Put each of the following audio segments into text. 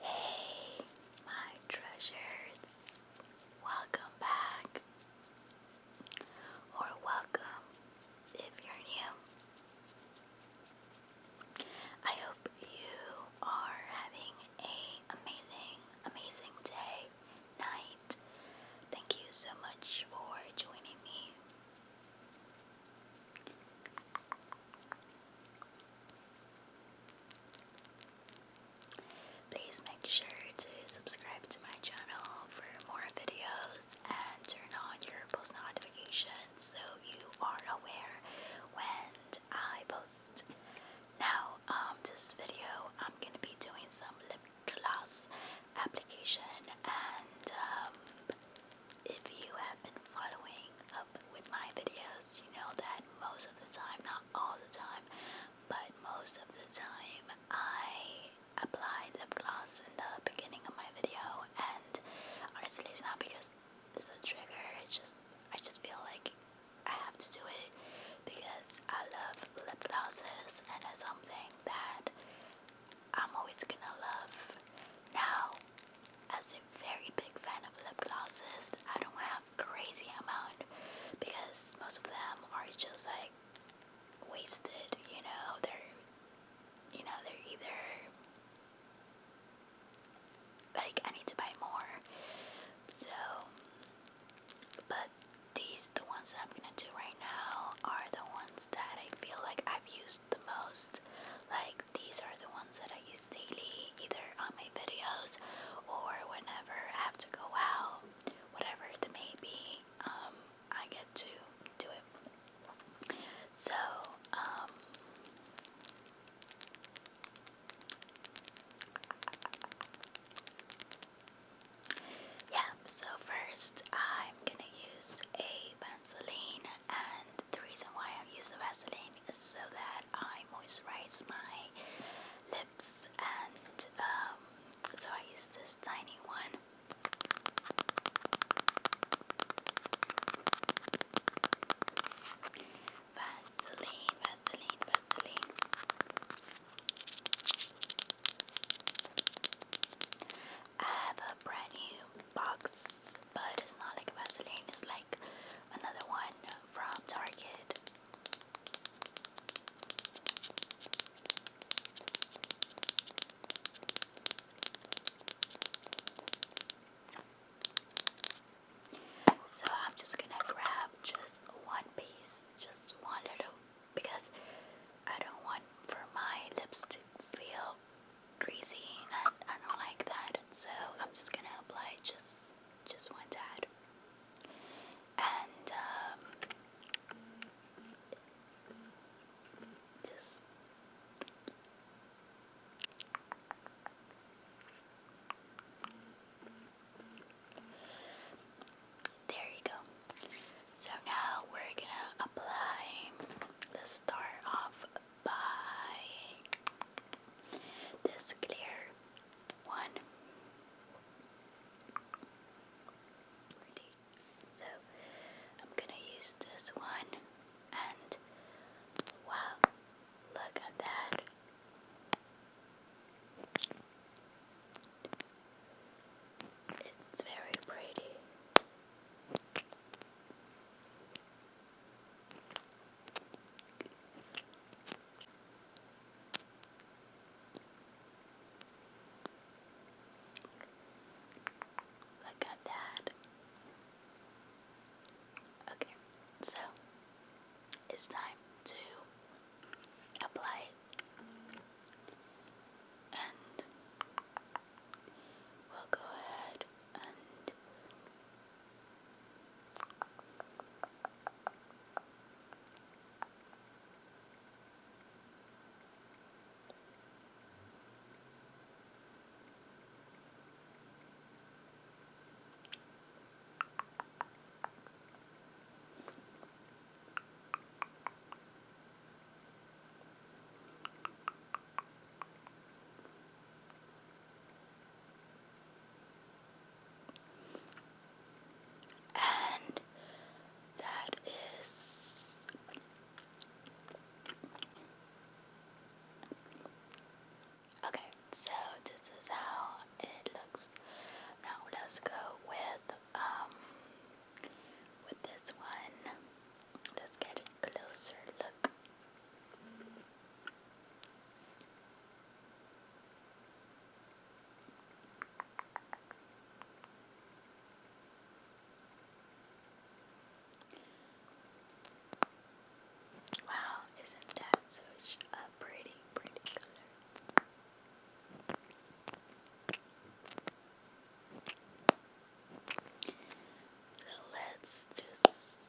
Hey, my treasures, welcome back, or welcome if you're new. I hope you are having a amazing, amazing day, night. Thank you so much for joining me. Please make sure to subscribe to my channel for more videos and turn on your post notifications so you are aware when I post. Now, um, this video I'm gonna be doing some lip gloss application and um, if you have been following up with my videos, you know that most of the time, not all the time, but most of the time, I apply lip gloss in the beginning of my video, and honestly, it's not because it's a trigger. It's just I just feel like I have to do it because I love lip glosses, and it's something that I'm always gonna love. Now, as a very big fan of lip glosses, I don't have crazy amount because most of them are just like wasted, you know, they're you know, they're either like I need to buy more. So but these the ones that I'm gonna do right now are the ones that I feel like I've used the most. Like these are the ones that I use daily, either on my videos or whenever I have to go out, whatever it may be, um, I get to do it. So, um, yeah, so first I'm gonna use a Vaseline and the reason why I use the Vaseline is so that I moisturize my lips and um, so I use this tiny one. Vaseline, Vaseline, Vaseline. I have a brand new box, but it's not like Vaseline, it's like another one from Target. So I'm just gonna grab just one piece, just one little, because I don't want for my lips feel greasy and I don't like that so I'm just gonna apply just just one tad and um, just there you go. So now we're gonna apply. Let's start off by this clear one. So I'm gonna use this one and wow, look at that. It's very pretty. Look at that. Okay, so it's time to apply and we'll go ahead and and that is okay. So this is how it looks. Now let's go with um with this one, let's get a closer look. Wow, isn't that such a pretty, pretty color? So let's just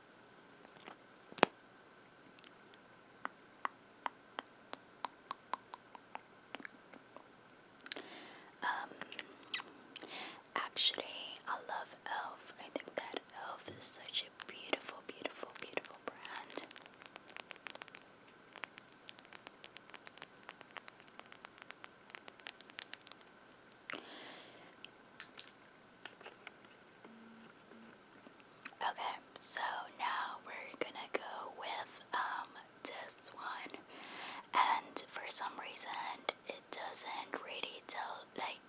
Um, actually, I love Elf. I think that Elf is such a beautiful, beautiful, beautiful brand. Okay, so now we're gonna go with um this one, and for some reason it doesn't really tell like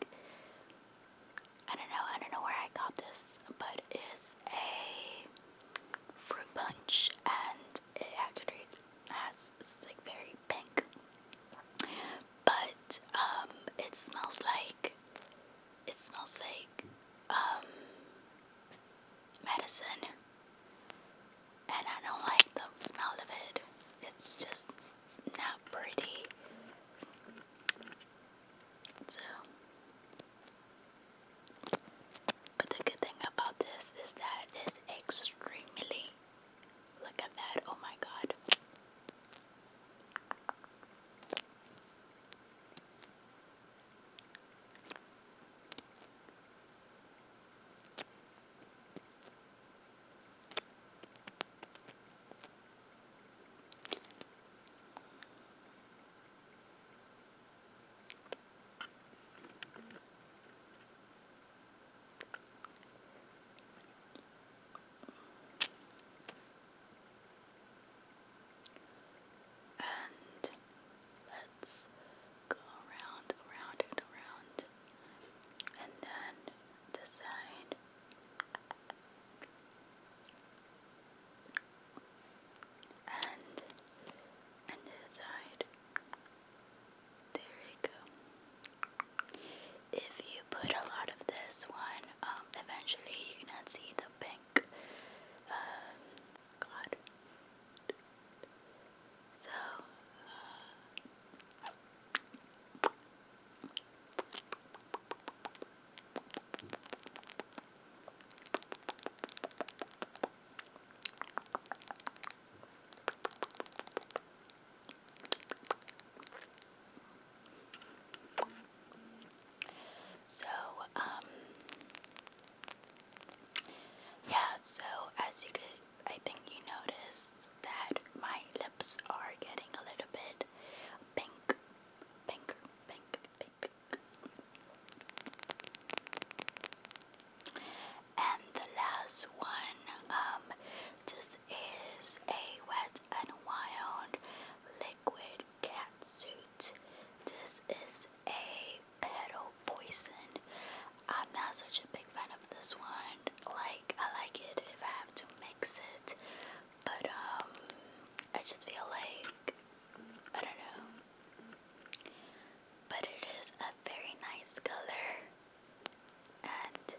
I don't know I don't know where I got this, but it's a fruit punch, and it actually has it's like very pink but um, it smells like it smells like um, medicine, and I don't like the smell of it. It's just not pretty. So, but the good thing about this is that it's extremely Look at that. Oh my god. And let's go around, around, and around, and then decide. And and decide. There you go. If you put a lot of this one, um, eventually you're gonna see the pink. Uh, God. So, uh, so, um, yeah, so as you could, I think you notice that my lips are getting a little bit pink, pink, pink, pink. pink. And the last one, um, this is a wet and wild liquid cat suit. This is a petal poison. I'm not such a big fan of this one. Like I like it if I have to mix it, but um, I just feel like I don't know. But it is a very nice color. And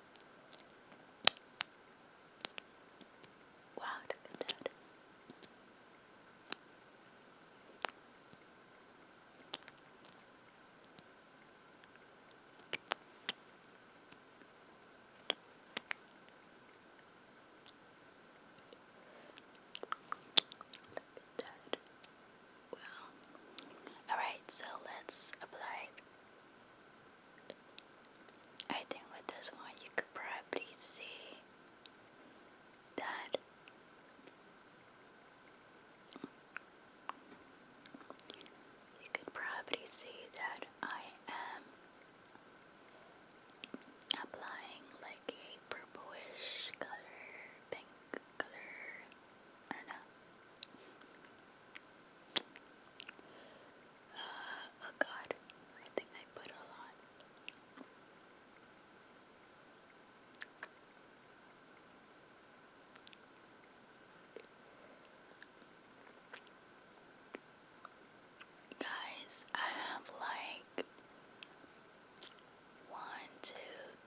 wow, look at that. Well, alright, so let's apply. I think with this one, you could probably see that you could probably see that I am applying like a purplish color, pink color, I don't know. oh uh, god, I think I put a lot. Guys, I have like one, two,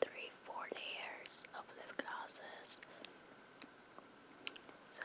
three, four layers of lip glosses. So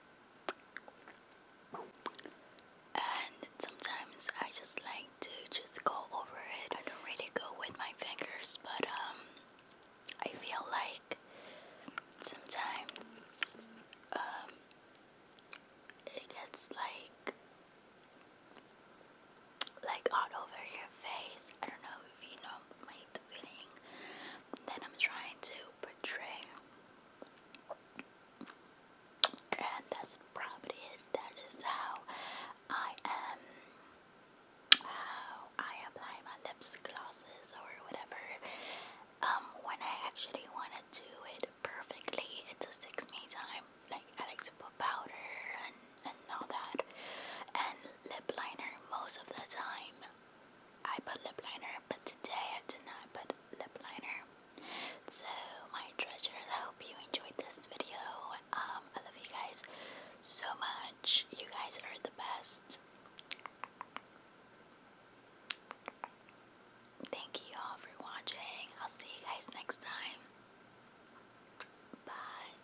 and sometimes I just like to just go over it. I don't really go with my fingers, but um, I feel like sometimes um, it gets like like all over your face. I don't know feeling that I'm trying to portray. And that's probably it. That is how I am. How I apply my lips glosses or whatever. Um, when I actually want to do it perfectly, it just takes me time. Like I like to put powder and and all that, and lip liner most of the time. I put lip liner, but today I did not put lip liner. So, my treasures, I hope you enjoyed this video. Um, I love you guys so much. You guys are the best. Thank you all for watching. I'll see you guys next time. Bye.